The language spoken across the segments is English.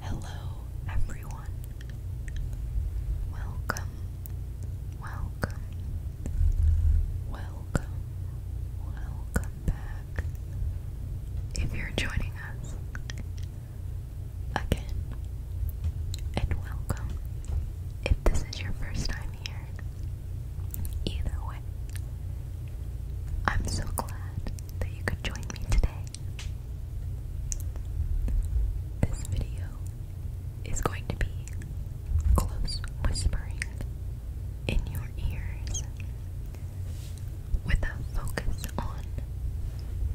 Hello, everyone. Welcome, welcome, welcome, welcome back. If you're joining us again, and welcome if this is your first time here. Either way, I'm so glad that you could join me today. This video is going to be close whispering in your ears with a focus on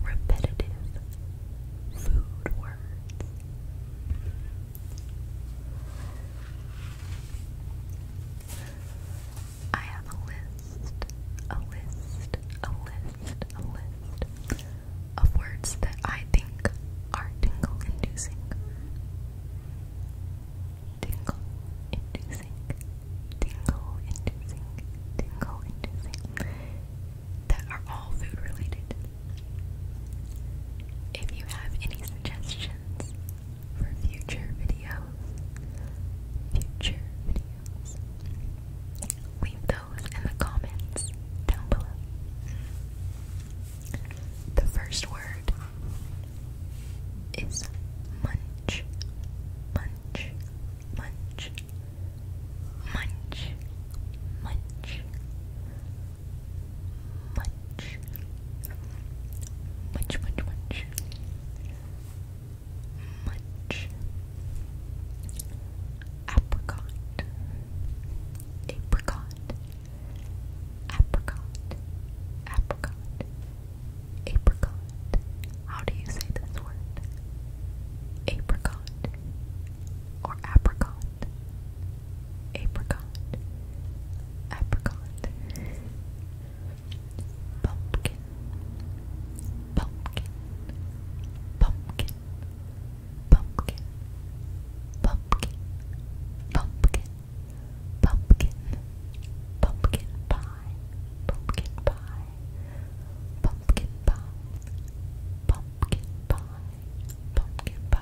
repetitive food words. I have a list, a list, a list, a list of words that I think are tingle inducing. Tingle inducing, tingle inducing, tingle inducing, that are all food related. If you have any suggestions, for future videos. Future videos. Leave those in the comments down below. The first word is munch, munch, munch, munch, munch, munch, munch, munch, munch, munch, apricot, apricot, apricot, apricot, apricot. How do you say this word? Apricot or apricot, apricot, apricot pumpkin, pumpkin, pumpkin, pumpkin, pumpkin, pumpkin, pumpkin, pumpkin pie, pumpkin pie, pumpkin pie, pumpkin pie, pumpkin pie, pumpkin pie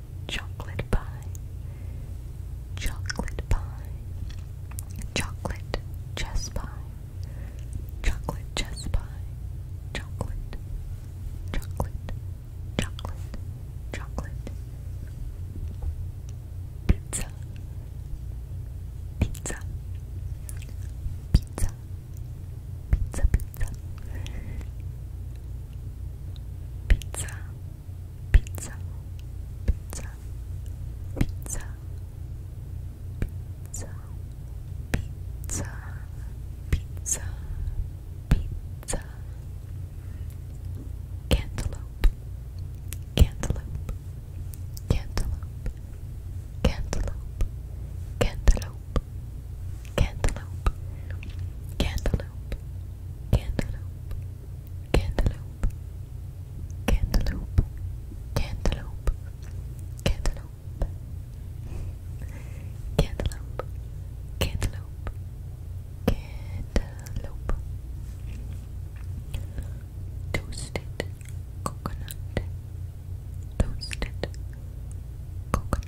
chocolate pie, chocolate pie, chocolate chess pie, chocolate chess pie, chocolate, chocolate, chocolate, chocolate, pizza, pizza, pizza, pizza, pizza. Pizza, pizza, pizza, pizza, pizza, pizza, pizza, pizza, cantaloupe, cantaloupe, cantaloupe, cantaloupe, cantaloupe, cantaloupe, cantaloupe, cantaloupe. Cantaloupe, Cantaloupe. Cantaloupe. Cantaloupe. Cantaloupe. Cantaloupe. Cantaloupe. Cantaloupe. Toasted coconut. Toasted coconut. Toasted coconut.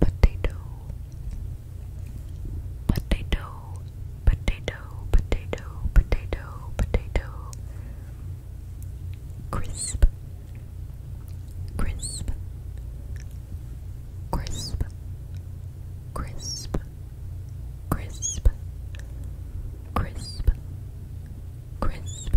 potato, potato, potato, potato, potato, potato, crisp, crisp, crisp, crisp, crisp, crisp, crisp,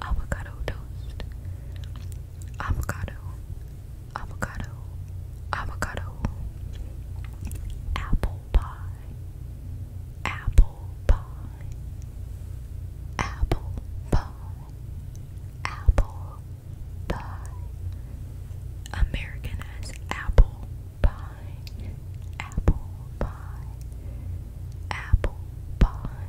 avocado toast, avocado, avocado, avocado, apple pie, apple pie, apple pie, apple pie. American apple pie, apple pie, apple pie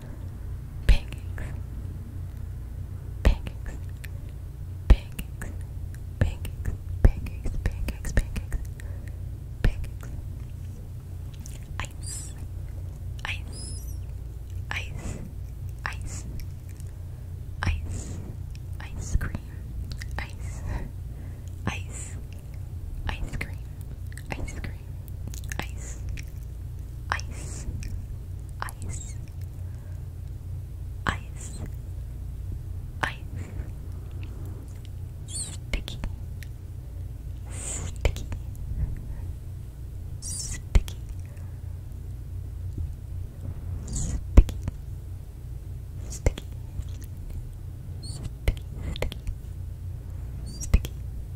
pancakes, pancakes, pancakes, pancakes, pancakes, pancakes, pancakes, pancakes, ice, ice, ice, ice, ice, ice cream, ice, ice, ice cream, ice cream, ice, ice, ice, ice, ice, sticky, sticky, sticky, sticky, sticky, sticky, sticky, sticky.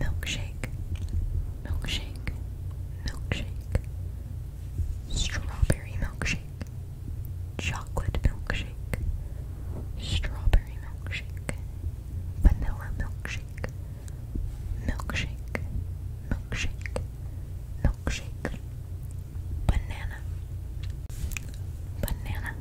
milkshake, milkshake, milkshake, strawberry milkshake, chocolate milkshake, strawberry milkshake, vanilla milkshake, milkshake, milkshake, milkshake, banana, banana,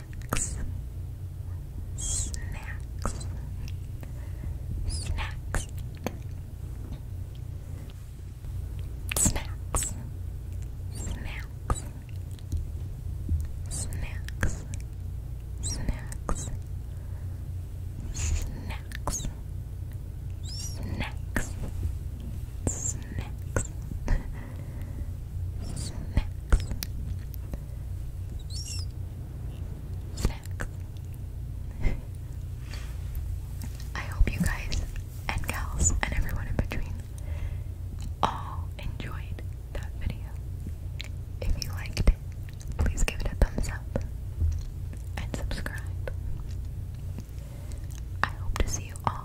snacks, snacks, snacks, snacks, snacks, snacks, snacks, snacks, snacks, snacks. Snacks. snacks. I hope you guys and gals and everyone in between all enjoyed that video. If you liked it, please give it a thumbs up and subscribe. I hope to see you all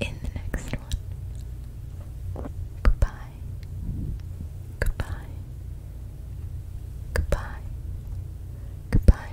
in the next one. Goodbye. Goodbye. Goodbye. Goodbye.